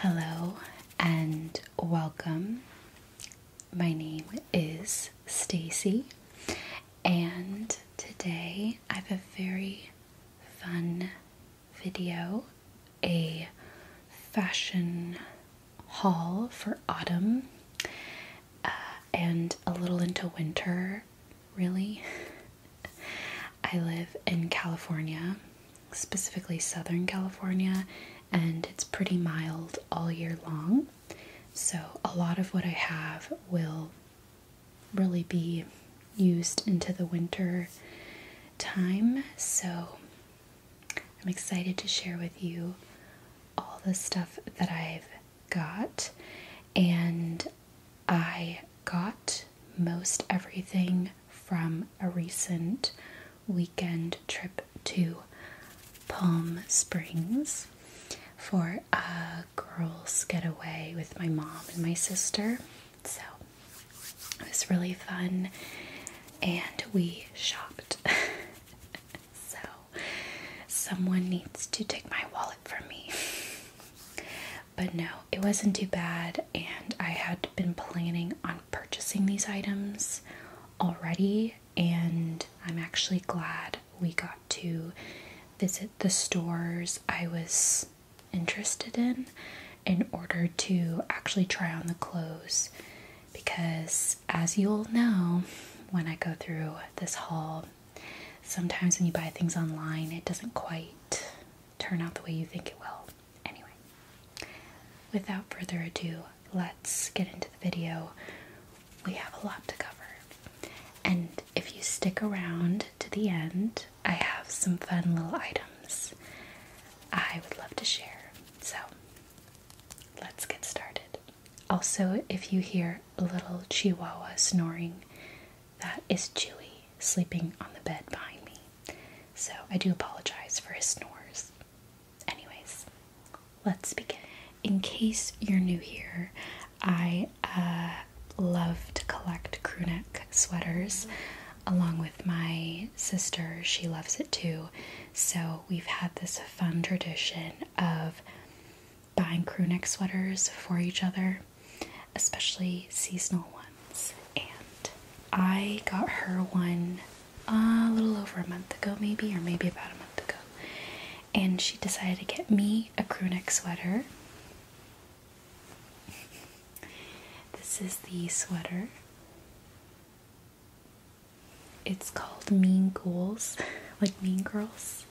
Hello and welcome. My name is Stacy and today I have a very fun video, a fashion haul for autumn uh, and a little into winter, really. I live in California, specifically Southern California, and it's pretty mild all year long. So, a lot of what I have will really be used into the winter time. So, I'm excited to share with you all the stuff that I've got. And I got most everything from a recent weekend trip to Palm Springs for a girls' getaway with my mom and my sister. So it was really fun and we shopped. so someone needs to take my wallet from me. But no, it wasn't too bad, and I had been planning on purchasing these items already, and I'm actually glad we got to visit the stores I was interested in in order to actually try on the clothes because as you'll know when I go through this haul sometimes when you buy things online it doesn't quite turn out the way you think it will Anyway, without further ado, let's get into the video. We have a lot to cover. And if you stick around to the end, I have some fun little items I would love to share. So let's get started. Also, if you hear a little chihuahua snoring, that is Chewy sleeping on the bed behind me. So I do apologize for his snores. Anyways, let's begin. In case you're new here, I uh, love to collect crewneck sweaters along with my sister. She loves it too. So we've had this fun tradition of buying crewneck sweaters for each other, especially seasonal ones and I got her one uh, a little over a month ago, maybe, or maybe about a month ago. And she decided to get me a crewneck sweater. this is the sweater. It's called Mean Girls, like Mean Girls.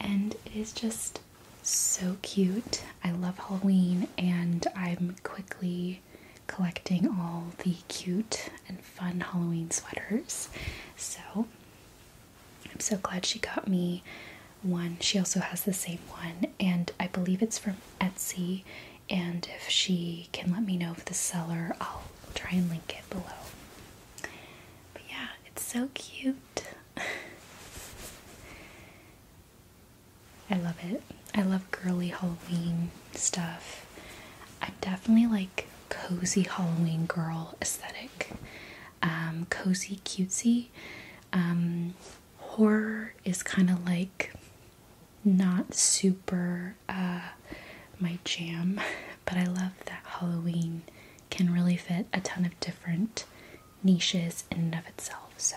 And it is just so cute. I love Halloween and I'm quickly collecting all the cute and fun Halloween sweaters. So I'm so glad she got me one. She also has the same one, and I believe it's from Etsy. And if she can let me know of the seller, I'll try and link it below. But yeah, it's so cute. I love it. I love girly Halloween stuff. I'm definitely like cozy Halloween girl aesthetic. Um, cozy, cutesy. Um, horror is kind of like not super uh, my jam, but I love that Halloween can really fit a ton of different niches in and of itself. So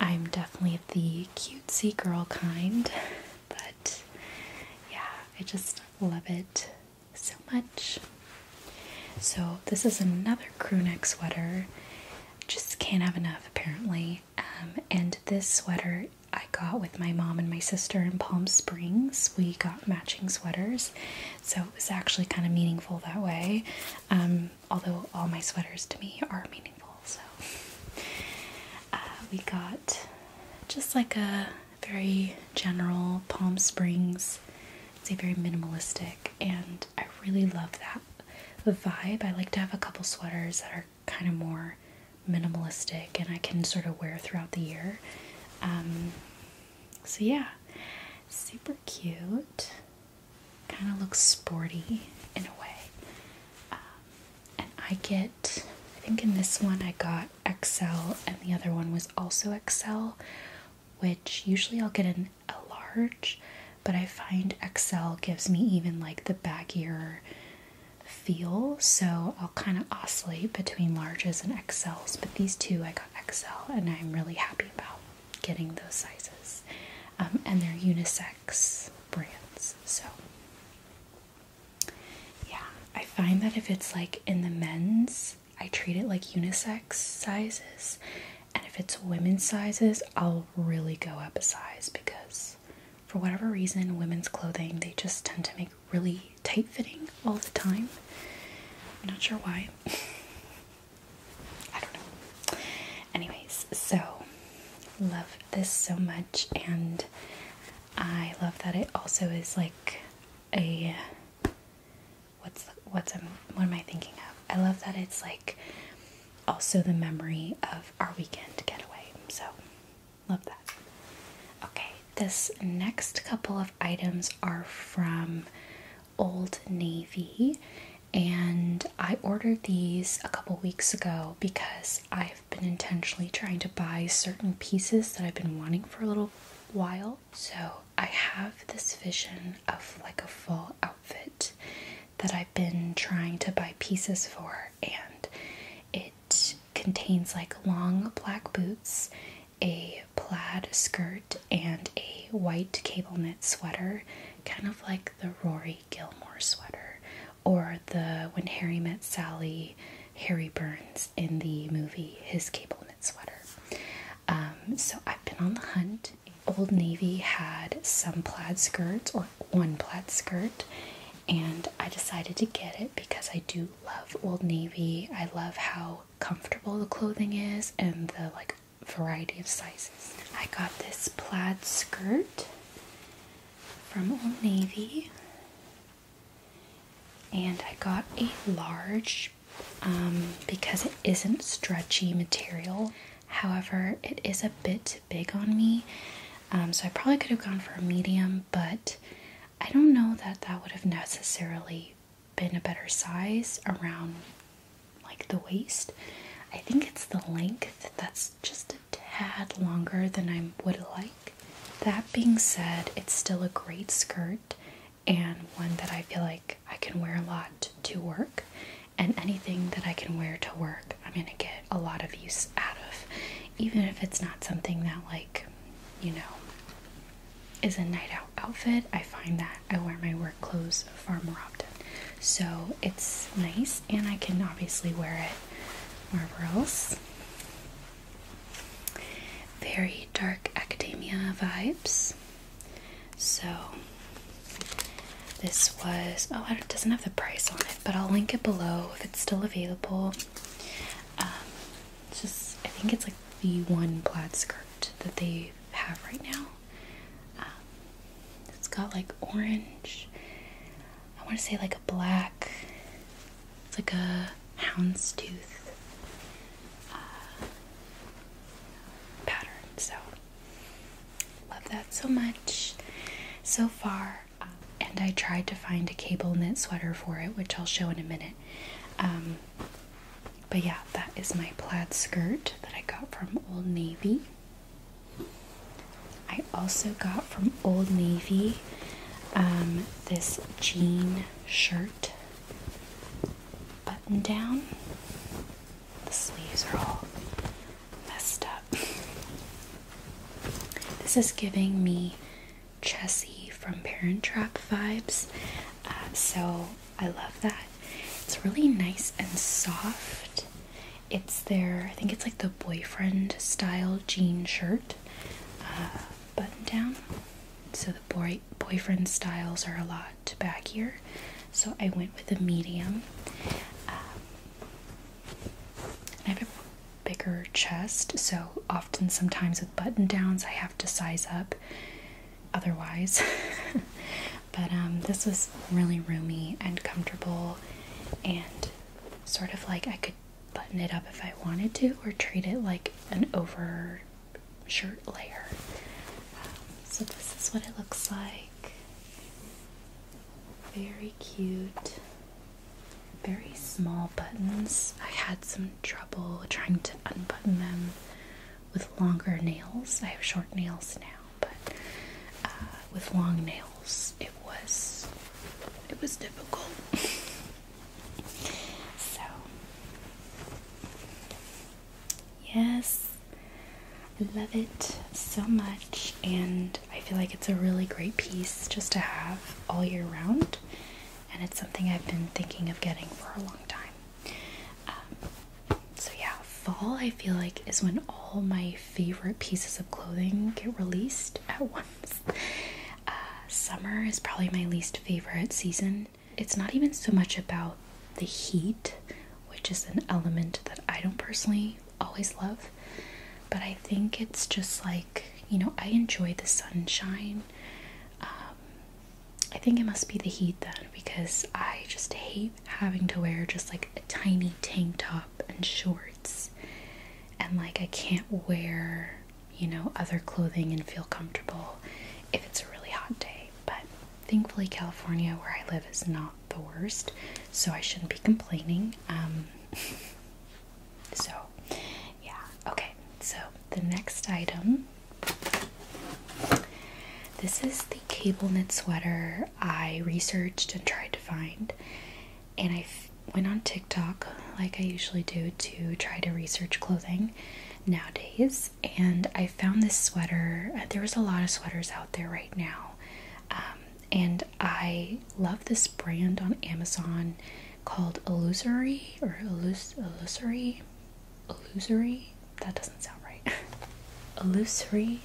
I'm definitely the cutesy girl kind, but yeah, I just love it so much. So, this is another crewneck sweater. Just can't have enough, apparently. Um, and this sweater I got with my mom and my sister in Palm Springs. We got matching sweaters, so it was actually kind of meaningful that way. Um, although all my sweaters to me are meaningful, so uh, we got just like a very general Palm Springs. It's a very minimalistic, and I really love that vibe. I like to have a couple sweaters that are kind of more minimalistic, and I can sort of wear throughout the year. Um, so yeah, super cute kind of looks sporty in a way. Um, and I get, I think in this one I got XL, and the other one was also XL, which usually I'll get an, a large, but I find XL gives me even like the baggier feel, so I'll kind of oscillate between larges and XLs. But these two I got XL, and I'm really happy about getting those sizes. Um, and they're unisex brands. So, yeah, I find that if it's like in the men's, I treat it like unisex sizes. And if it's women's sizes, I'll really go up a size because for whatever reason, women's clothing they just tend to make really tight fitting all the time. I'm not sure why. I don't know. Anyways, so love this so much, and I love that it also is like a what's what's um, what am I thinking of? I love that it's like also the memory of our weekend getaway. So love that. Okay, this next couple of items are from Old Navy and I ordered these a couple weeks ago because I've been intentionally trying to buy certain pieces that I've been wanting for a little while. So I have this vision of like a full outfit that I've been trying to buy pieces for, and it contains like long black boots, a plaid skirt, and a white cable knit sweater, kind of like the Rory Gilmore sweater or the When Harry Met Sally, Harry Burns in the movie, his cable knit sweater. Um, so I've been on the hunt. Old Navy had some plaid skirts or one plaid skirt, and I decided to get it because I do love Old Navy. I love how comfortable the clothing is and the like variety of sizes. I got this plaid skirt from Old Navy, and I got a large um, because it isn't stretchy material. However, it is a bit big on me, um, so I probably could have gone for a medium, but I don't know that that would have necessarily been a better size around like the waist. I think it's the length that's just a tad longer than I would like. That being said, it's still a great skirt and one that I feel like I can wear a lot to work. And anything that I can wear to work, I'm gonna get a lot of use out of, even if it's not something that, like, you know, is a night out outfit. I find that I wear my work clothes far more often so it's nice and I can obviously wear it wherever else. Very dark academia vibes. So this was oh it doesn't have the price on it, but I'll link it below if it's still available. Um, just I think it's like the one plaid skirt that they have right now. Um, it's got like orange. I want to say like a black. It's like a houndstooth uh, pattern. So love that so much. So far, and I tried to find a cable knit sweater for it, which I'll show in a minute. Um, but yeah, that is my plaid skirt that I got from Old Navy. I also got from Old Navy um, this jean shirt button down. The sleeves are all messed up. This is giving me Chessie from Parent Trap vibes, uh, so I love that. It's really nice and soft, it's their, I think it's like the boyfriend style jean shirt uh, button down. So the boy boyfriend styles are a lot back here. So I went with a medium. Um, I have a bigger chest, so often sometimes with button downs I have to size up otherwise. but um, this was really roomy and comfortable and sort of like I could button it up if I wanted to or treat it like an over shirt layer. Um, so this is what it looks like. Very cute. Very small buttons. I had some trouble trying to unbutton them with longer nails. I have short nails now but uh, with long nails, it was it was difficult. so yes, I love it so much, and I feel like it's a really great piece just to have all year round, and it's something I've been thinking of getting for a long time. Um, so yeah, fall I feel like is when all my favorite pieces of clothing get released at once. Uh, summer is probably my least favorite season. It's not even so much about the heat, which is an element that I don't personally always love, but I think it's just like, you know, I enjoy the sunshine. Um, I think it must be the heat then because I just hate having to wear just like a tiny tank top and shorts and like I can't wear, you know, other clothing and feel comfortable if it's a really hot day. But thankfully California where I live is not the worst, so I shouldn't be complaining. Um so yeah, okay. So the next item this is the cable knit sweater I researched and tried to find and I went on TikTok like I usually do to try to research clothing nowadays. And I found this sweater. Uh, there was a lot of sweaters out there right now, um, and I love this brand on Amazon called Illusory or Illus Illusory, Illusory. That doesn't sound right. Illusory.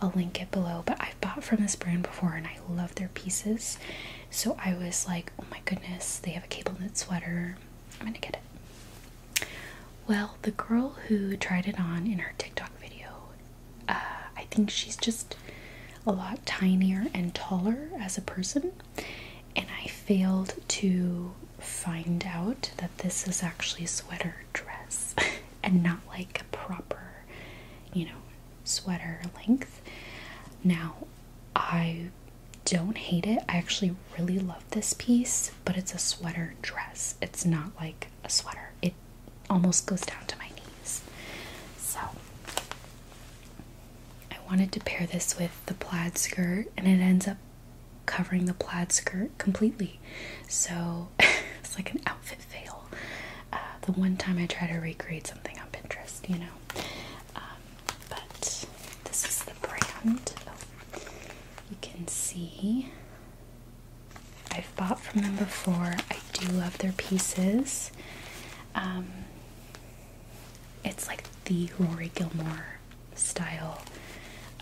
I'll link it below. But I bought from this brand before and I love their pieces. So I was like, oh my goodness, they have a cable knit sweater. I'm gonna get it. Well, the girl who tried it on in her TikTok video, uh, I think she's just a lot tinier and taller as a person. And I failed to find out that this is actually a sweater dress and not like a proper, you know, sweater length. Now, I don't hate it. I actually really love this piece, but it's a sweater dress. It's not like a sweater. It almost goes down to my knees. So, I wanted to pair this with the plaid skirt and it ends up covering the plaid skirt completely. So, it's like an outfit fail. Uh, the one time I try to recreate something on Pinterest, you know. Um, but this is the brand. you can see I've bought from them before. I do love their pieces. Um, it's like the Rory Gilmore style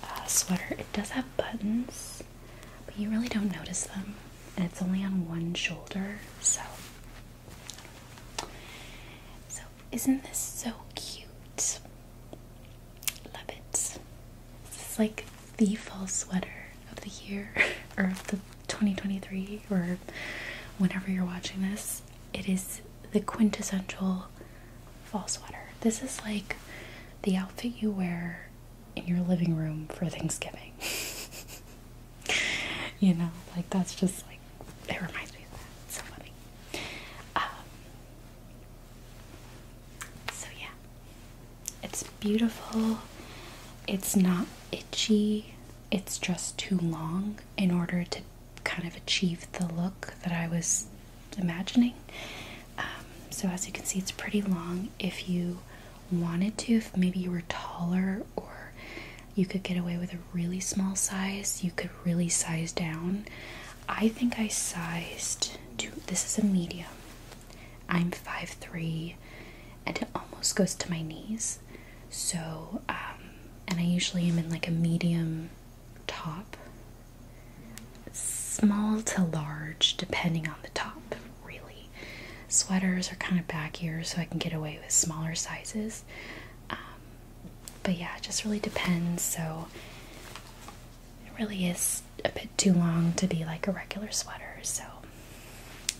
uh, sweater. It does have buttons but you really don't notice them, and it's only on one shoulder, so. So, isn't this so cute? Love it. This is like the fall sweater of the year, or of the 2023, or whenever you're watching this. It is the quintessential fall sweater. This is like the outfit you wear in your living room for Thanksgiving. you know, like that's just like it reminds me of that. Somebody. Um, so yeah, it's beautiful. It's not itchy. It's just too long in order to kind of achieve the look that I was imagining. Um, so as you can see, it's pretty long. If you wanted to, if maybe you were taller or you could get away with a really small size, you could really size down. I think I sized to this is a medium. I'm 5'3 and it almost goes to my knees. So, um, and I usually am in like a medium top, small to large, depending on the top really. Sweaters are kind of back here, so I can get away with smaller sizes. Um, but yeah, it just really depends. So it really is a bit too long to be like a regular sweater. So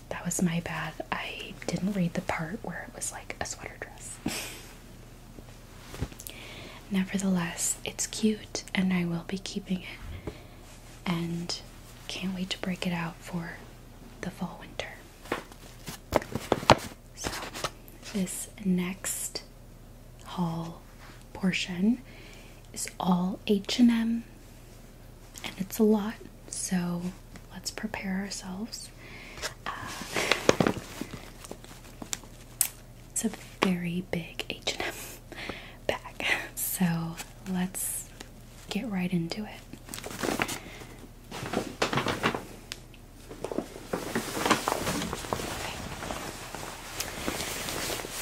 that was my bad. I didn't read the part where it was like a sweater dress. Nevertheless, it's cute and I will be keeping it and can't wait to break it out for the fall winter. So, this next haul portion is all H&M and it's a lot, so let's prepare ourselves. Uh, it's a very big H&M bag. So, let's get right into it.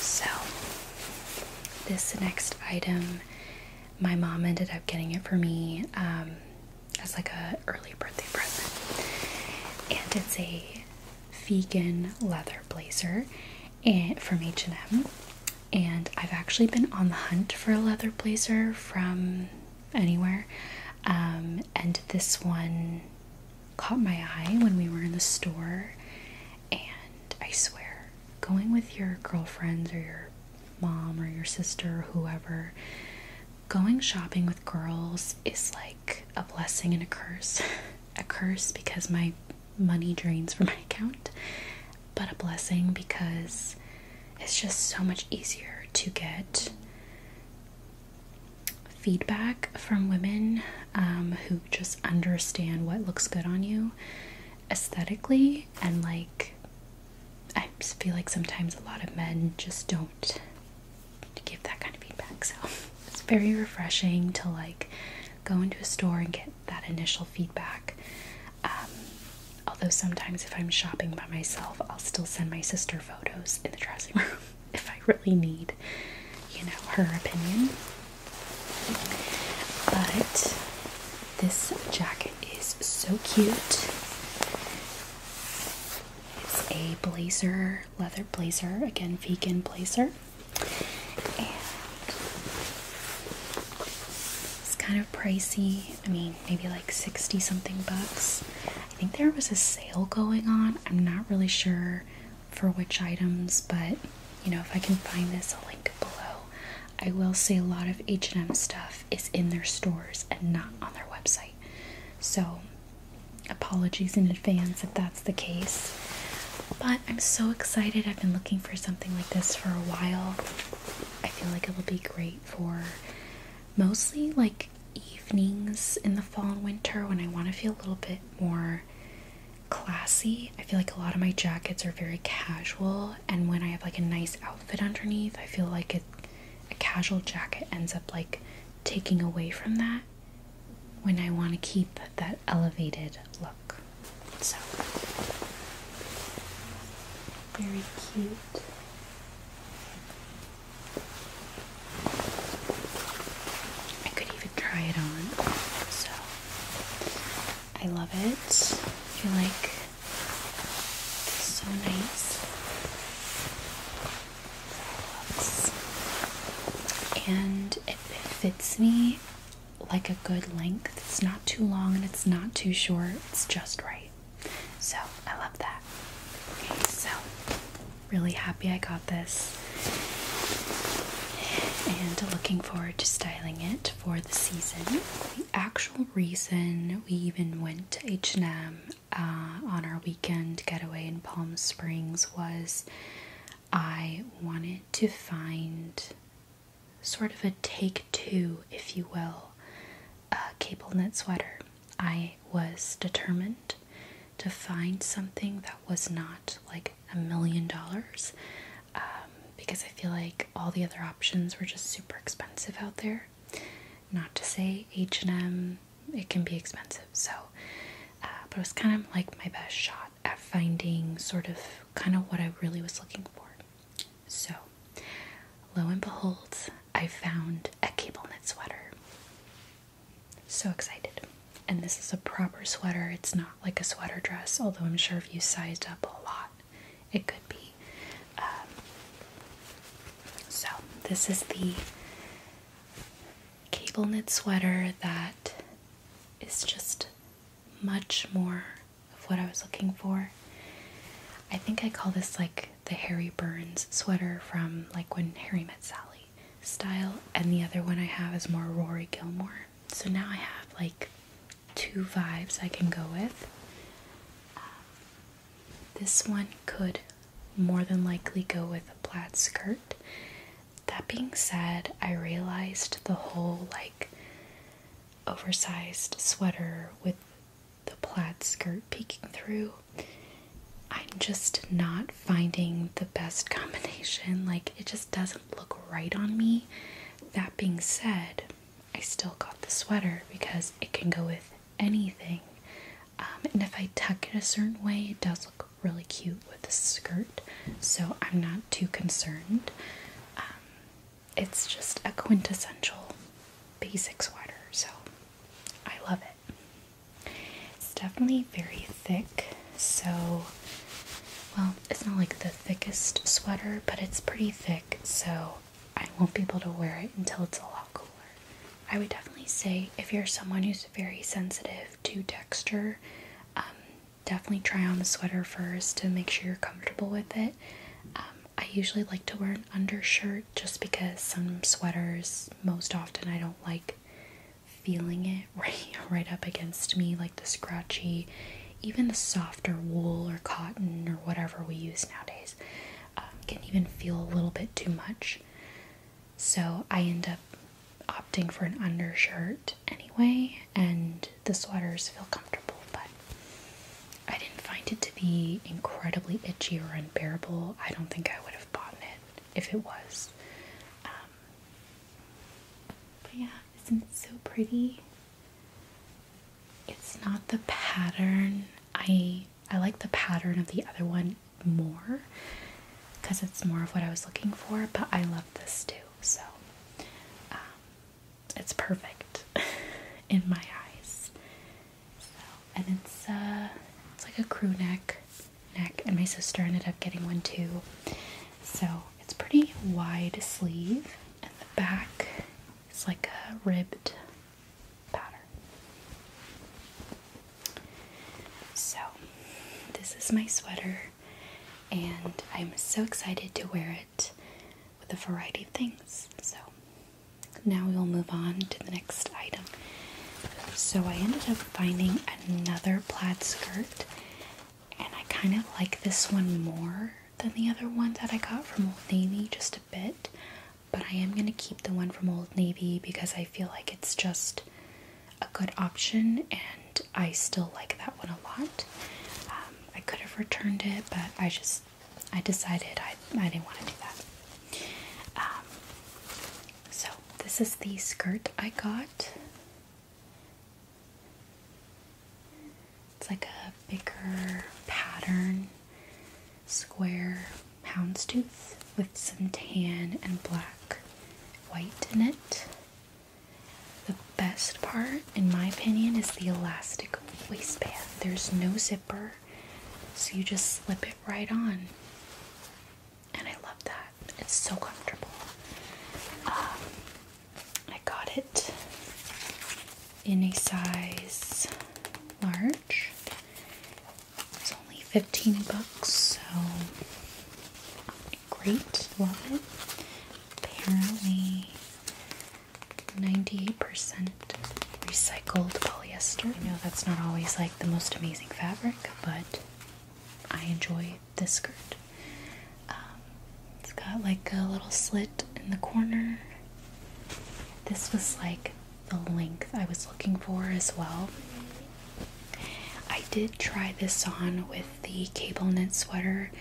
So, this next item, my mom ended up getting it for me um, as like a early birthday present, and it's a vegan leather blazer eh, and, from H&M and I've actually been on the hunt for a leather blazer from anywhere. Um, and this one caught my eye when we were in the store. And I swear, going with your girlfriends or your mom or your sister or whoever, going shopping with girls is like a blessing and a curse. a curse because my money drains from my account but a blessing because it's just so much easier to get feedback from women um, who just understand what looks good on you aesthetically and like i feel like sometimes a lot of men just don't give that kind of feedback so it's very refreshing to like go into a store and get that initial feedback. Um, although sometimes, if I'm shopping by myself, I'll still send my sister photos in the dressing room if I really need, you know, her opinion. But this jacket is so cute. It's a blazer, leather blazer, again, vegan blazer. And it's kind of pricey. I mean, maybe like 60 something bucks. I think there was a sale going on. I'm not really sure for which items, but you know, if I can find this, I'll link it below. I will say a lot of H&M stuff is in their stores and not on their website. So, apologies in advance if that's the case. But I'm so excited. I've been looking for something like this for a while. I feel like it will be great for mostly like evenings in the fall and winter when I want to feel a little bit more classy. I feel like a lot of my jackets are very casual, and when I have like a nice outfit underneath, I feel like a casual jacket ends up like taking away from that when I want to keep that elevated look. So very cute. I could even try it on. So I love it. I feel like it's so nice. looks. And it fits me like a good length. It's not too long and it's not too short. It's just right. So I love that. Okay, so really happy I got this and looking forward to styling it for the season. The actual reason we even went to H&M on our weekend getaway in Palm Springs was I wanted to find sort of a take two, if you will, uh, cable knit sweater. I was determined to find something that was not like a million dollars um, because I feel like all the other options were just super expensive out there. Not to say H&M, it can be expensive, so uh, but it was kind of like my best shot at finding sort of kind of what I really was looking for. So, lo and behold, I found a cable knit sweater. So excited. And this is a proper sweater. It's not like a sweater dress, although I'm sure if you sized up a lot, it could be. Um, so, this is the cable knit sweater that is just much more of what I was looking for. I think I call this like the Harry Burns sweater from like when Harry met Sally style, and the other one I have is more Rory Gilmore. So now I have like two vibes I can go with. Um, this one could more than likely go with a plaid skirt. That being said, I realized the whole like oversized sweater with the plaid skirt peeking through. I'm just not finding the best combination. Like, it just doesn't look right on me. That being said, I still got the sweater because it can go with anything. Um, and if I tuck it a certain way, it does look really cute with the skirt. So I'm not too concerned. Um, it's just a quintessential basic sweater, so I love it. It's definitely very thick, so well, it's not like the thickest sweater, but it's pretty thick, so I won't be able to wear it until it's a lot cooler. I would definitely say if you're someone who's very sensitive to texture, um, definitely try on the sweater first to make sure you're comfortable with it. Um, I usually like to wear an undershirt just because some sweaters, most often, I don't like feeling it right, right up against me, like the scratchy, even the softer wool or cotton or whatever we use nowadays um, can even feel a little bit too much. So I end up opting for an undershirt anyway, and the sweaters feel comfortable. But I didn't find it to be incredibly itchy or unbearable. I don't think I would have bought it if it was. Um, but yeah, isn't it so pretty? It's not the pattern. I I like the pattern of the other one more because it's more of what I was looking for, but I love this too. So um, it's perfect in my eyes. and it's uh, it's like a crew neck, neck, and my sister ended up getting one too. So it's pretty wide sleeve, and the back is like a ribbed pattern. So this is my sweater, and I'm so excited to wear it with a variety of things. So now we will move on to the next item. So I ended up finding another plaid skirt, and I kind of like this one more than the other one that I got from Old Navy just a bit. But I am going to keep the one from Old Navy because I feel like it's just a good option and I still like that one a lot. Um, I could have returned it, but I just I decided I, I didn't want to do that. Um, so, this is the skirt I got. It's like a bigger pattern, square houndstooth with some tan and black white in it. The best part, in my opinion, is the elastic waistband. There's no zip so you just slip it right on. And I love that. It's so comfortable. Um, I got it in a size large. It's only 15 bucks, so great. Love it. Apparently, 98% recycled polyester. No, that's not always like the most amazing fabric, but I enjoy this skirt. Um, it's got like a little slit in the corner. This was like the length I was looking for as well. I did try this on with the cable knit sweater,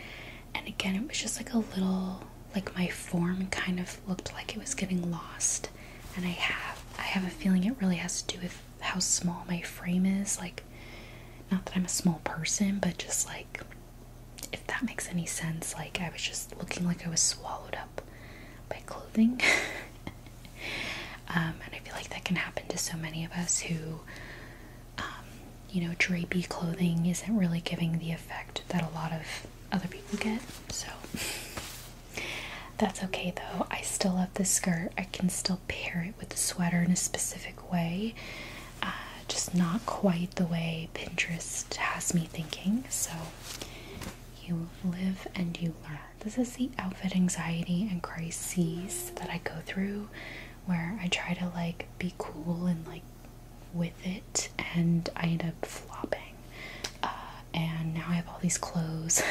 and again, it was just like a little like my form kind of looked like it was getting lost and I have I have a feeling it really has to do with how small my frame is like not that I'm a small person but just like if that makes any sense like I was just looking like I was swallowed up by clothing um, and I feel like that can happen to so many of us who um, you know drapey clothing isn't really giving the effect that a lot of other people get. So that's okay though. I still love this skirt. I can still pair it with the sweater in a specific way. Uh, just not quite the way Pinterest has me thinking. So you live and you learn. This is the outfit anxiety and crises that I go through where I try to like be cool and like with it, and I end up flopping. Uh, and now I have all these clothes,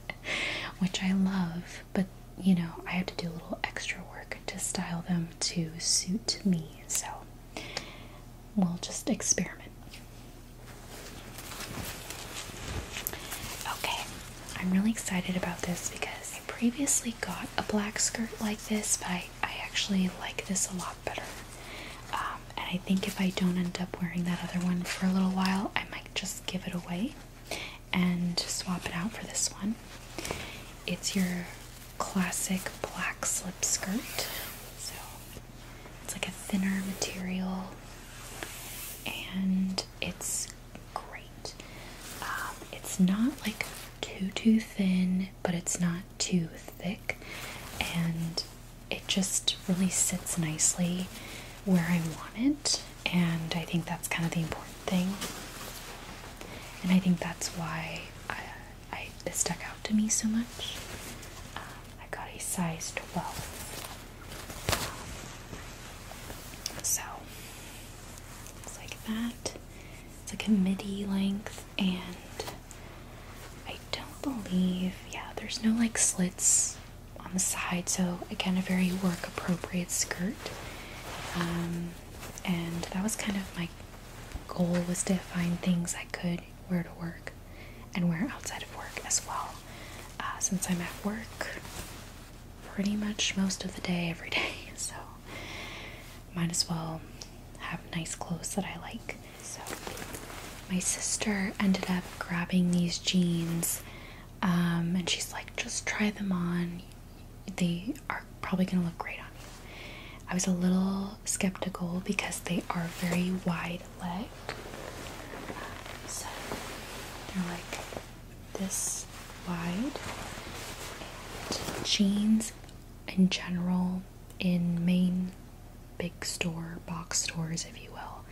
which I love, but you know, I have to do a little extra work to style them to suit me, so we'll just experiment. Okay, I'm really excited about this because I previously got a black skirt like this, by. I actually like this a lot better. Um, and I think if I don't end up wearing that other one for a little while, I might just give it away and swap it out for this one. It's your classic black slip skirt. So it's like a thinner material and it's great. Um, it's not like too, too thin, but it's not too thick and it just really sits nicely where I want it and I think that's kind of the important thing and I think that's why I, it stuck out to me so much. Um, I got a size 12 so it's like that it's like a midi length and I don't believe, yeah, there's no like slits on the side, so again, a very work appropriate skirt. Um, and that was kind of my goal was to find things I could wear to work and wear outside of work as well. Uh, since I'm at work pretty much most of the day, every day, so might as well have nice clothes that I like. So my sister ended up grabbing these jeans, um, and she's like, just try them on. They are probably gonna look great on you. I was a little skeptical because they are very wide leg. So they're like this wide. jeans in general in main big store box stores, if you will,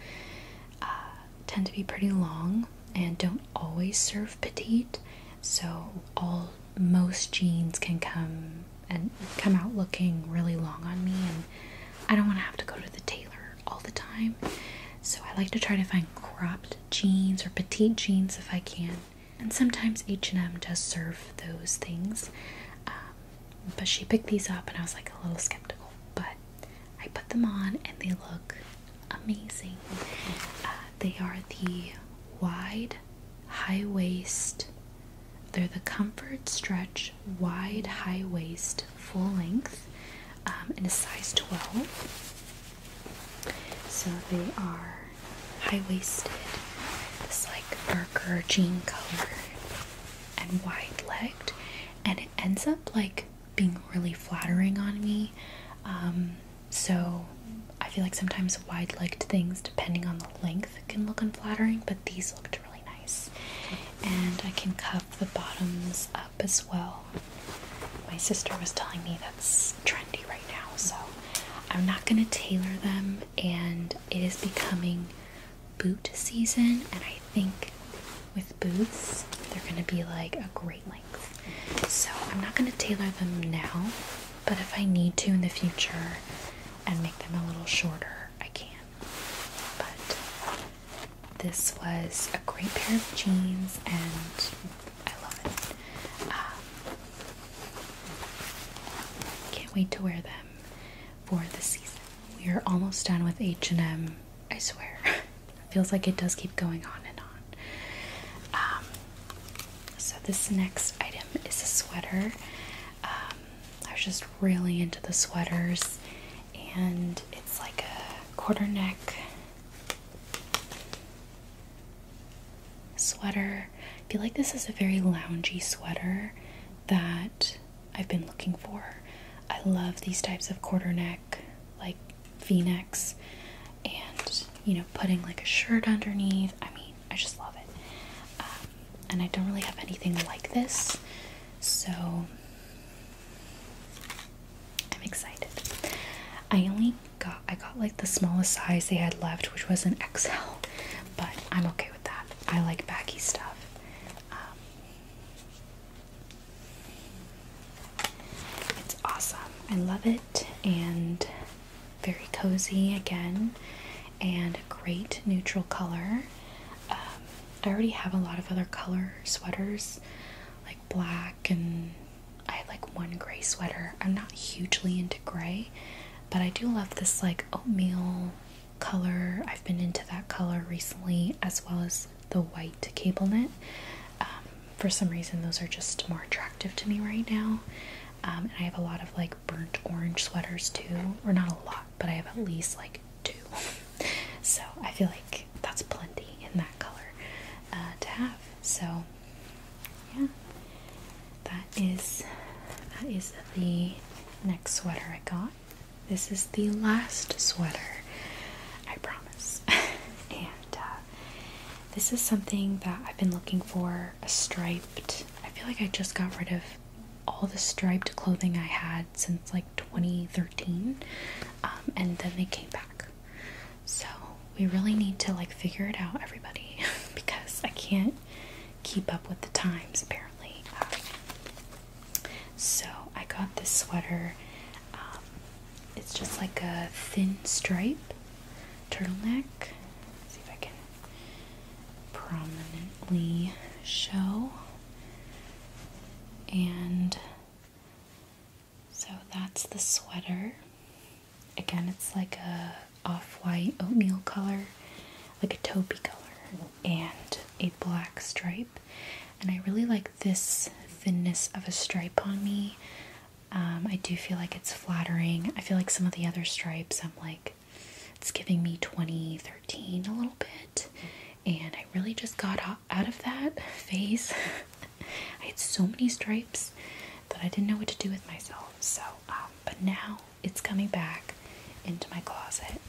uh, tend to be pretty long and don't always serve petite. So all most jeans can come and come out looking really long on me, and I don't want to have to go to the tailor all the time. So I like to try to find cropped jeans or petite jeans if I can. And sometimes H&M does serve those things. Um, but she picked these up and I was like a little skeptical. But I put them on and they look amazing. Uh, they are the wide high waist, they're the comfort stretch wide high waist full length um, in a size 12. So they are high waisted, It's like darker jean color and wide-legged and it ends up like being really flattering on me um, so i feel like sometimes wide-legged things depending on the length can look unflattering but these looked really nice and i can cuff the bottoms up as well my sister was telling me that's trendy right now so i'm not going to tailor them and it is becoming boot season, and I think with boots, they're gonna be like a great length. So I'm not gonna tailor them now, but if I need to in the future and make them a little shorter, I can. But this was a great pair of jeans, and I love it. Um, can't wait to wear them for the season. We are almost done with H&M, I swear. feels like it does keep going on and on. Um, so this next item is a sweater. Um, I was just really into the sweaters and it's like a quarter neck sweater. I feel like this is a very loungy sweater that I've been looking for. I love these types of quarter neck, like v-necks, and you know, putting like a shirt underneath. I mean, I just love it. Um, and I don't really have anything like this, so I'm excited. I only got I got like the smallest size they had left, which was an XL, but I'm okay with that. I like baggy stuff. Um, it's awesome. I love it and very cozy again and a great neutral color. Um, I already have a lot of other color sweaters like black and I had like one gray sweater. I'm not hugely into gray, but I do love this like oatmeal color. I've been into that color recently, as well as the white cable knit. Um, for some reason, those are just more attractive to me right now. Um, and I have a lot of like burnt orange sweaters too, or not a lot, but I have at least like two. so I feel like that's plenty in that color uh, to have. So yeah, that is that is the next sweater I got. This is the last sweater, I promise. and uh, this is something that I've been looking for a striped. I feel like I just got rid of all the striped clothing I had since like 2013, um, and then they came back. So we really need to like figure it out, everybody, because I can't keep up with the times apparently. Um, so I got this sweater. Um, it's just like a thin stripe turtleneck. see if I can prominently show. And so that's the sweater. Again, it's like a off-white oatmeal color, like a taupey color and a black stripe. And I really like this thinness of a stripe on me. Um, I do feel like it's flattering. I feel like some of the other stripes, I'm like, it's giving me 2013 a little bit. And I really just got out of that phase. I had so many stripes that I didn't know what to do with myself. So, um, but now it's coming back into my closet.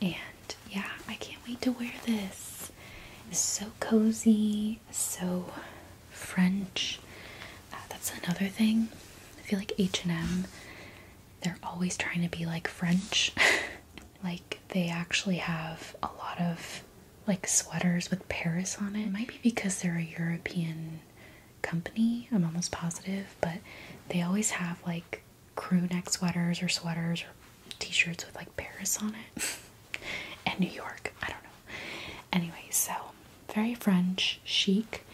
And yeah, I can't wait to wear this. It's so cozy, so French. Uh, that's another thing. I feel like H&M, they're always trying to be like French. like they actually have a lot of like sweaters with Paris on it. it might be because they're a European company, I'm almost positive, but they always have like crew neck sweaters or sweaters or t shirts with like Paris on it and New York. I don't know. Anyway, so very French, chic,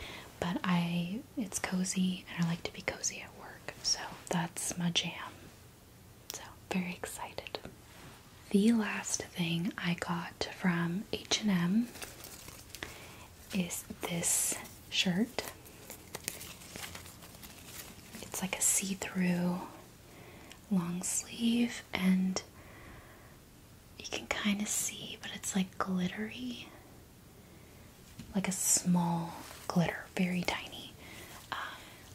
but I it's cozy and I like to be cozy at work, so that's my jam. So, very excited. The last thing I got from H&M is this shirt. It's like a see through long sleeve, and you can kind of see, but it's like glittery. Like a small glitter, very tiny. Um,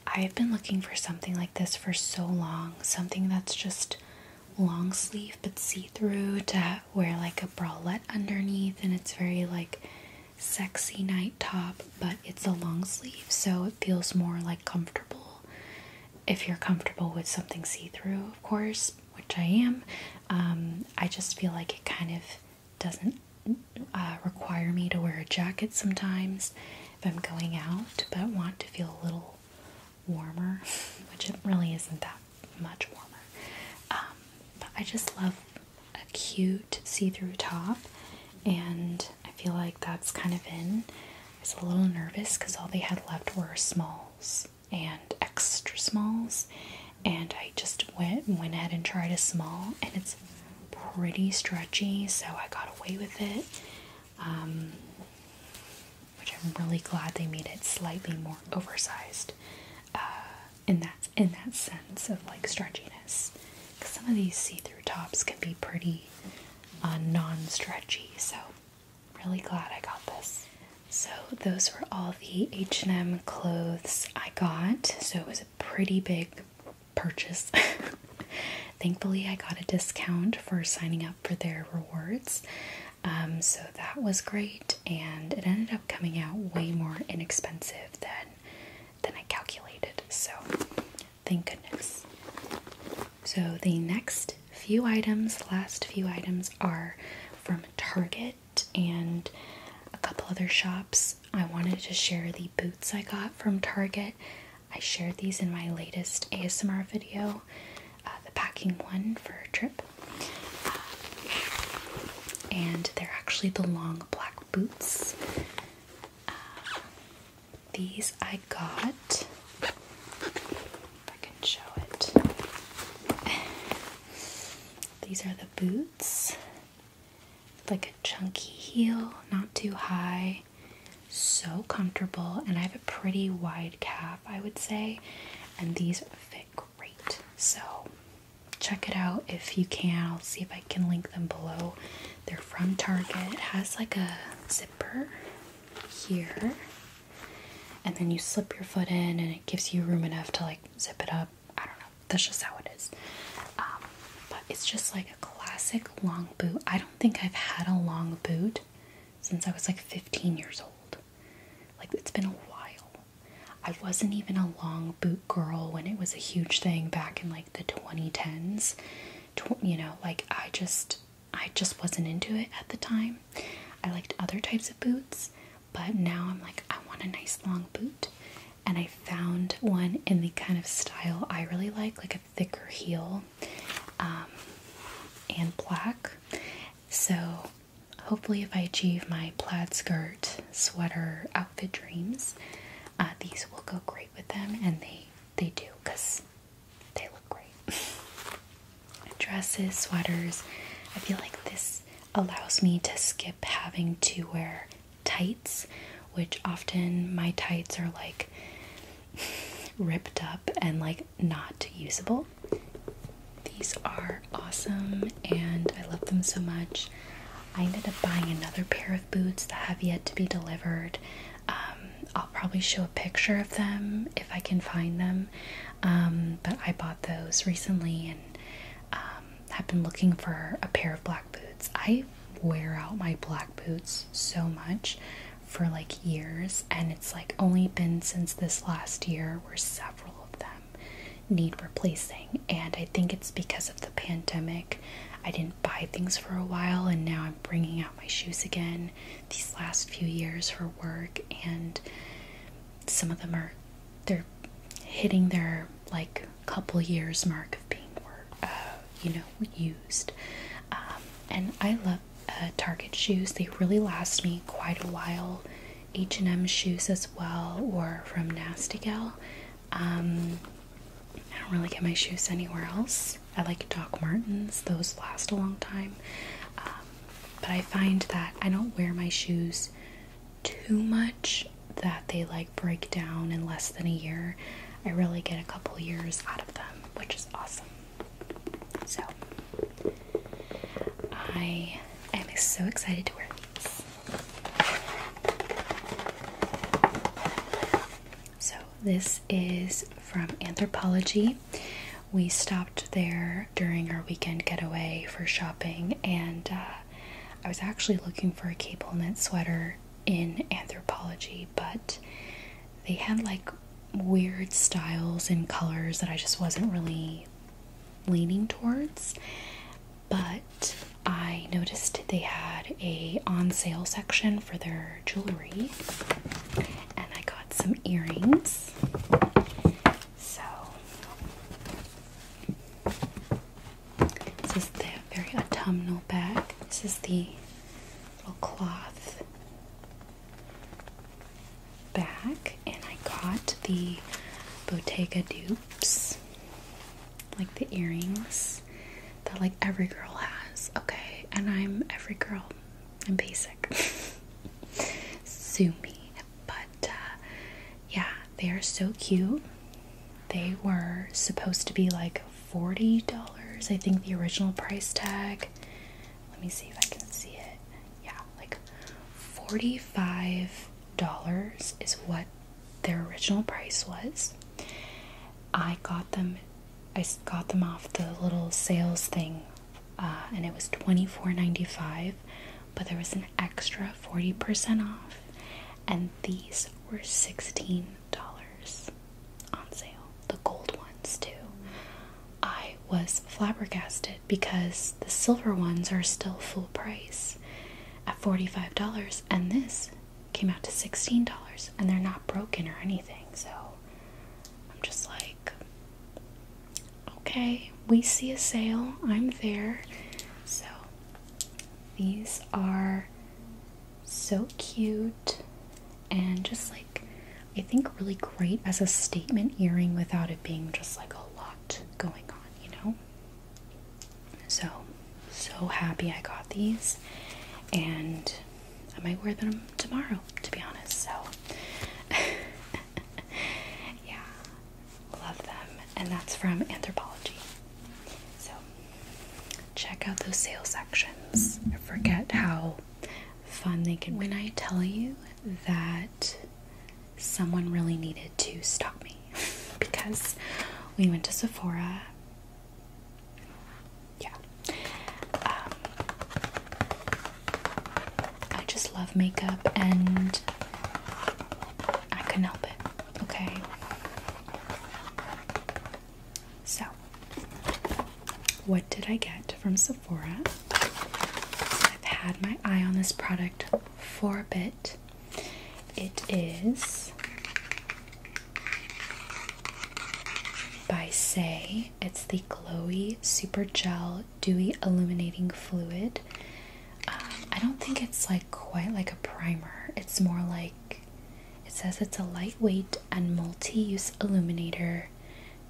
I've been looking for something like this for so long, something that's just long sleeve but see through to wear like a bralette underneath and it's very like sexy night top, but it's a long sleeve, so it feels more like comfortable. If you're comfortable with something see through, of course, which I am, um, I just feel like it kind of doesn't uh, require me to wear a jacket sometimes if I'm going out, but want to feel a little warmer, which it really isn't that much warmer. Um, but I just love a cute see-through top, and I feel like that's kind of in. I was a little nervous because all they had left were smalls and extra smalls, and I just went went ahead and tried a small, and it's pretty stretchy, so I got away with it. Um, which I'm really glad they made it slightly more oversized. Uh, in that in that sense of like stretchiness. Because some of these see-through tops can be pretty uh, non-stretchy. So really glad I got this. So those were all the H&M clothes I got. So it was a pretty big purchase. Thankfully, I got a discount for signing up for their rewards. Um, so that was great, and it ended up coming out way more inexpensive than than I calculated. So thank goodness. So the next few items, last few items, are from Target and a couple other shops. I wanted to share the boots I got from Target. I shared these in my latest ASMR video, uh, the packing one for a trip and they're actually the long black boots. Uh, these I got. If I can show it. These are the boots. Like a chunky heel, not too high, so comfortable. And I have a pretty wide calf, I would say. And these fit great. So check it out if you can. I'll see if I can link them below. They're from Target. It has like a zipper here, and then you slip your foot in, and it gives you room enough to like zip it up. I don't know. That's just how it is. Um, but it's just like a classic long boot. I don't think I've had a long boot since I was like 15 years old. Like, it's been a while. I wasn't even a long boot girl when it was a huge thing back in like the 2010s. you know, like I just I just wasn't into it at the time. I liked other types of boots, but now I'm like I want a nice long boot. And I found one in the kind of style I really like, like a thicker heel um, and black. So hopefully, if I achieve my plaid skirt sweater outfit dreams, uh, these will go great with them, and they they do because they look great. Dresses, sweaters. I feel like this allows me to skip having to wear tights, which often my tights are like ripped up and like not usable. These are awesome and I love them so much. I ended up buying another pair of boots that have yet to be delivered. Um, I'll probably show a picture of them if I can find them. Um, but I bought those recently and um, have been looking for a pair of black boots. I wear out my black boots so much for like years, and it's like only been since this last year where several of them need replacing. And I think it's because of the pandemic. I didn't buy things for a while, and now I'm bringing out my shoes again these last few years for work. And some of them are they're hitting their like couple years mark of being uh, you know used. Um, and I love uh, Target shoes. They really last me quite a while. H&M shoes as well or from Nasty Gal. Um, I don't really get my shoes anywhere else. I like Doc Martens. Those last a long time. Um, but I find that I don't wear my shoes too much that they like break down in less than a year. I really get a couple years out of them, which is awesome. So I am so excited to wear these. So, this is from Anthropology. We stopped there during our weekend getaway for shopping, and uh, I was actually looking for a cable knit sweater in Anthropology, but they had like weird styles and colors that I just wasn't really leaning towards but I noticed they had a on sale section for their jewelry and I got some earrings. So this is the very autumnal bag. This is the little cloth bag and I got the Bottega du like the earrings that like every girl has. Okay, and I'm every girl. I'm basic. Sue me. But uh, yeah, they are so cute. They were supposed to be like $40, I think the original price tag. Let me see if I can see it. Yeah, like $45 is what their original price was. I got them I got them off the little sales thing uh, and it was $24.95 but there was an extra 40% off and these were $16 on sale the gold ones too I was flabbergasted because the silver ones are still full price at $45 and this came out to $16 and they're not broken or anything. So I'm just like okay, we see a sale, I'm there. So these are so cute and just like I think really great as a statement earring without it being just like a lot going on, you know? So, so happy I got these, and I might wear them tomorrow, to be honest. So, yeah, love them, and that's from Anthropology. So, check out those sale sections. I forget how fun they can. When I tell you that someone really needed to stop me because we went to Sephora. Yeah. Um, I just love makeup and I can not help it, okay? So, what did I get from Sephora? I've had my eye on this product for a bit. It is by Say. It's the Glowy Super Gel Dewy Illuminating Fluid. Um, I don't think it's like quite like a primer. It's more like it says it's a lightweight and multi-use illuminator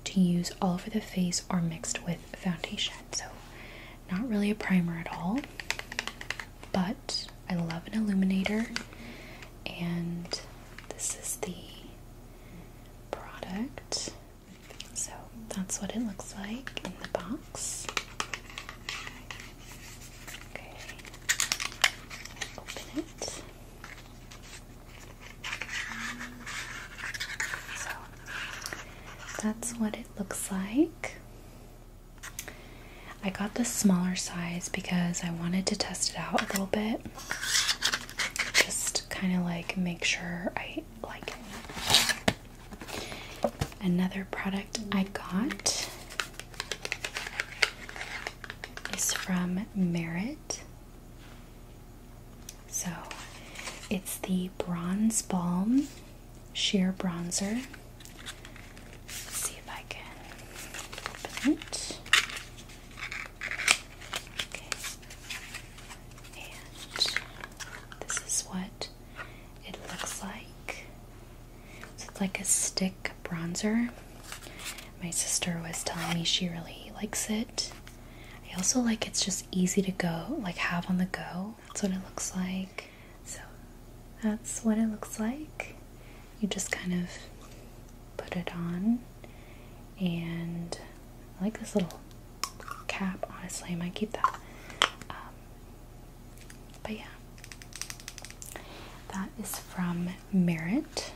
to use all over the face or mixed with foundation. So not really a primer at all, but I love an illuminator, and this is the product. So that's what it looks like in the box. Okay, open it. So that's what it looks like. I got the smaller size because I wanted to test it out a little bit. Just kind of like make sure I like it. Another product I got is from Merit. So it's the Bronze Balm sheer bronzer. see if I can open it. Okay. And this is what it looks like. So it's like a stick bronzer. My sister was telling me she really likes it. I also like it's just easy to go, like have on the go. That's what it looks like. So that's what it looks like. You just kind of put it on, and I like this little cap, honestly, I might keep that. Um, but yeah, that is from Merit,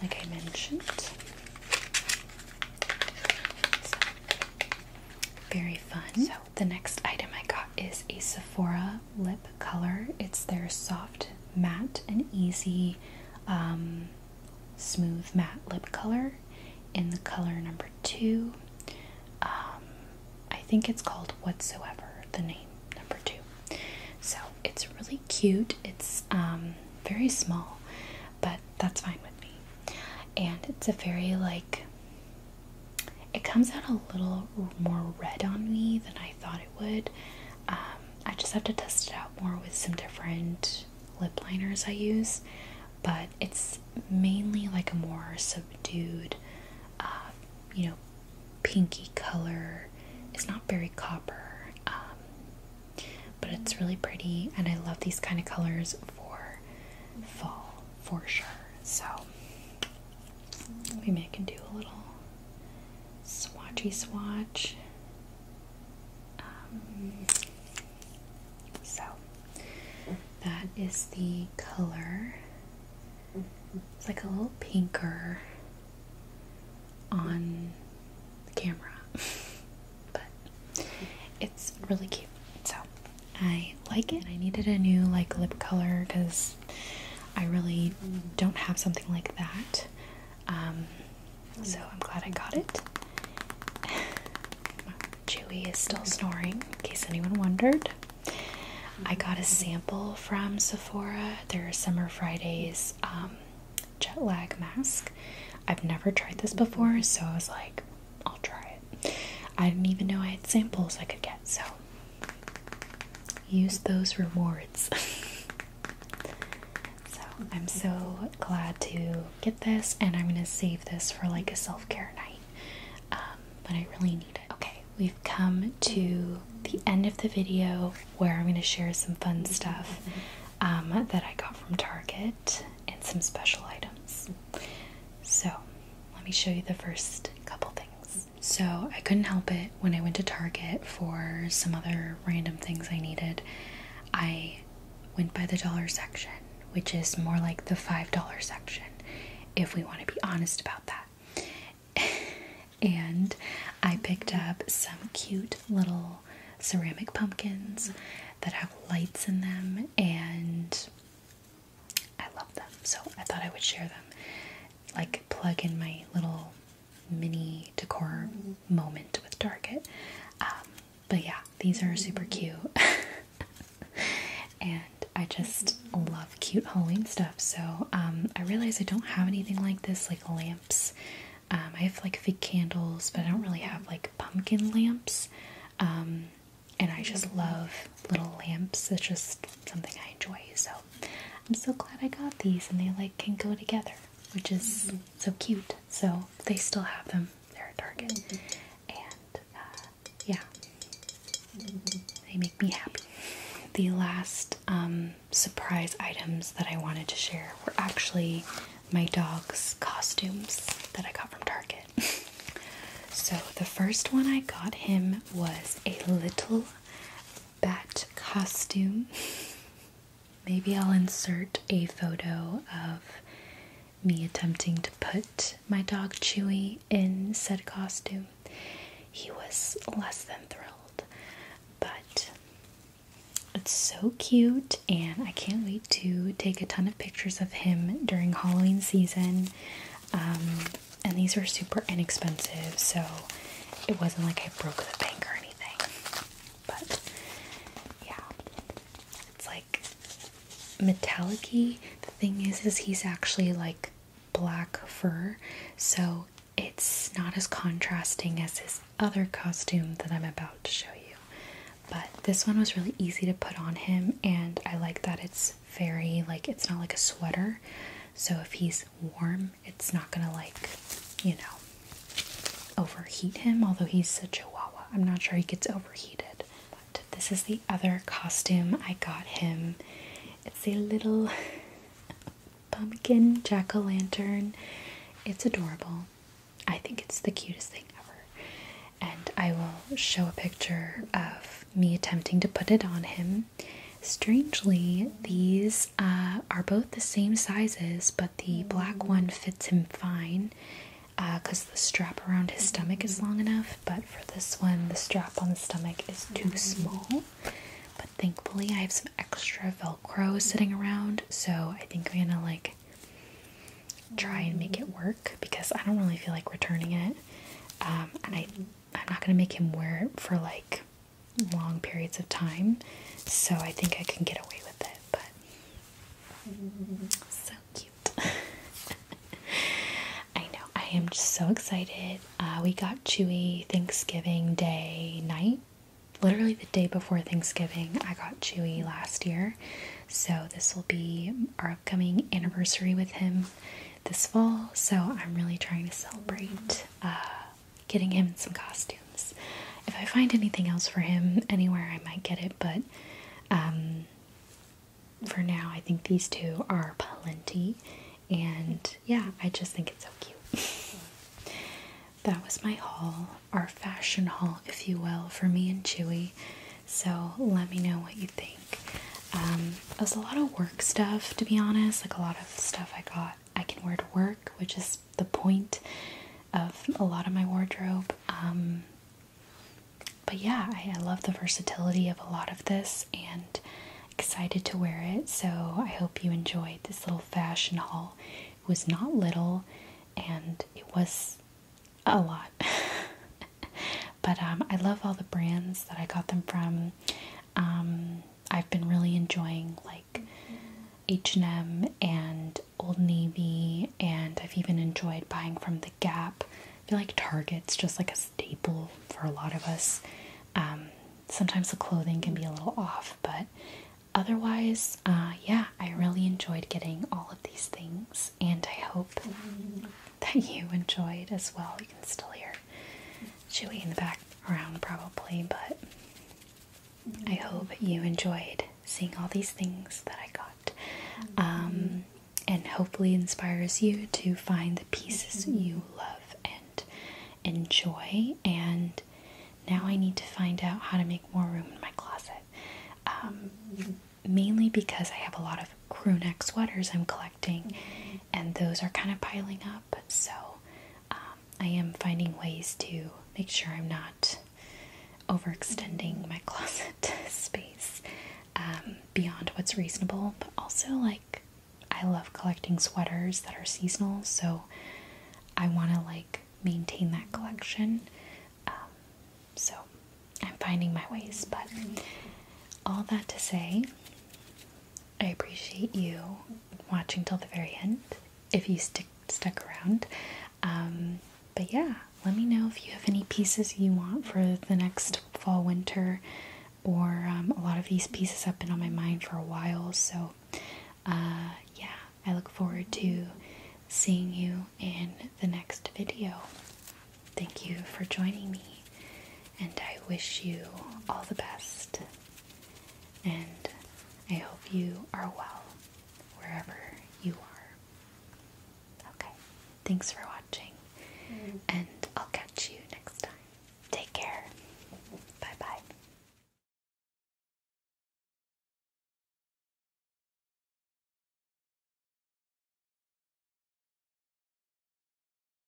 like I mentioned. very fun the next item I got is a Sephora lip color. It's their soft, matte, and easy, um, smooth matte lip color in the color number two. Um, I think it's called Whatsoever, the name number two. So it's really cute. It's um, very small, but that's fine with me. And it's a very like it comes out a little more red on me than I thought it would. Um, I just have to test it out more with some different lip liners I use, but it's mainly like a more subdued, uh, you know, pinky color. It's not very copper, um, but it's really pretty, and I love these kind of colors for fall for sure. So Maybe I can do a little swatchy swatch. Um, so that is the color. It's like a little pinker on the camera, but it's really cute. So I like it. I needed a new like lip color because I really don't have something like that. Um, so I'm glad I got it. Chewy is still snoring, in case anyone wondered. I got a sample from Sephora, their Summer Fridays um, jet lag mask. I've never tried this before, so I was like, I'll try it. I didn't even know I had samples I could get, so use those rewards. so I'm so glad to get this, and I'm gonna save this for like a self care night. Um, but I really need it. Okay, we've come to the end of the video where I'm gonna share some fun stuff um, that I got from Target and some special items. So, let me show you the first couple things. So, I couldn't help it when I went to Target for some other random things I needed. I went by the dollar section, which is more like the $5 section, if we want to be honest about that. and I picked up some cute little ceramic pumpkins that have lights in them and I love them, so I thought I would share them. Like, plug in my little mini decor mm-hmm. moment with Target. Um, but yeah, these are super mm-hmm. cute. and I just love cute Halloween stuff. So um, I realize I don't have anything like this, like lamps. Um, I have like fake candles, but I don't really have like pumpkin lamps and I just love little lamps. It's just something I enjoy. So I'm so glad I got these, and they like can go together, which is mm-hmm. so cute. So they still have them. They're at Target, mm-hmm. and uh, yeah, they make me happy. The last um, surprise items that I wanted to share were actually my dog's costumes that I got from Target. so the first one I got him was a little bat costume. Maybe I'll insert a photo of me attempting to put my dog Chewy in said costume. He was less than thrilled, but it's so cute, and I can't wait to take a ton of pictures of him during Halloween season. Um, and these were super inexpensive, so it wasn't like I broke the bank or anything. But yeah, it's like metallic -y. The thing is, is he's actually like black fur, so it's not as contrasting as his other costume that I'm about to show you. But this one was really easy to put on him, and I like that it's very like it's not like a sweater. So if he's warm, it's not gonna like, you know, overheat him, although he's a chihuahua. I'm not sure he gets overheated. But this is the other costume I got him. It's a little pumpkin jack-o'-lantern. It's adorable. I think it's the cutest thing ever. And I will show a picture of me attempting to put it on him Strangely, these uh, are both the same sizes, but the black one fits him fine because uh, the strap around his stomach is long enough. But for this one, the strap on the stomach is too mm-hmm. small. But thankfully, I have some extra Velcro sitting around, so I think I'm gonna like try and make it work because I don't really feel like returning it. Um, and I I'm not going to make him wear it for like long periods of time. So I think I can get away with it, but so cute. I know. I am just so excited. Uh, we got Chewy Thanksgiving Day night. Literally the day before Thanksgiving, I got Chewy last year. So this will be our upcoming anniversary with him this fall, so I'm really trying to celebrate uh, getting him some costumes. If I find anything else for him anywhere, I might get it, but um, for now, I think these two are plenty, and yeah, I just think it's so cute. that was my haul, our fashion haul, if you will, for me and Chewy. So let me know what you think. Um, it was a lot of work stuff, to be honest. Like a lot of stuff I got, I can wear to work, which is the point of a lot of my wardrobe. Um, but yeah, I love the versatility of a lot of this and excited to wear it. So I hope you enjoyed this little fashion haul. It was not little and it was a lot. But um, I love all the brands that I got them from. Um, I've been really enjoying like H&M and Old Navy, and I've even enjoyed buying from the Gap. I feel like Target's just like a staple for a lot of us. Um, sometimes the clothing can be a little off, but otherwise, uh, yeah, I really enjoyed getting all of these things, and I hope that you enjoyed as well. You can still hear chewy in the background probably, but I hope you enjoyed seeing all these things that I got. Um, and hopefully inspires you to find the pieces you love and enjoy. And now I need to find out how to make more room in my closet. Um, mainly because I have a lot of crewneck sweaters I'm collecting, and those are kind of piling up. So um, I am finding ways to make sure I'm not overextending my closet space um, beyond what's reasonable, but also like I love collecting sweaters that are seasonal, so I want to like maintain that collection. Um, so I'm finding my ways, but all that to say, I appreciate you watching till the very end if you stick stuck around. Um, but yeah, let me know if you have any pieces you want for the next fall winter, or um, a lot of these pieces have been on my mind for a while. So uh, yeah, I look forward to seeing you in the next video. Thank you for joining me and I wish you all the best. And I hope you are well wherever you are. Okay, thanks for watching, mm-hmm. and I'll catch you next time. Take care. Bye bye.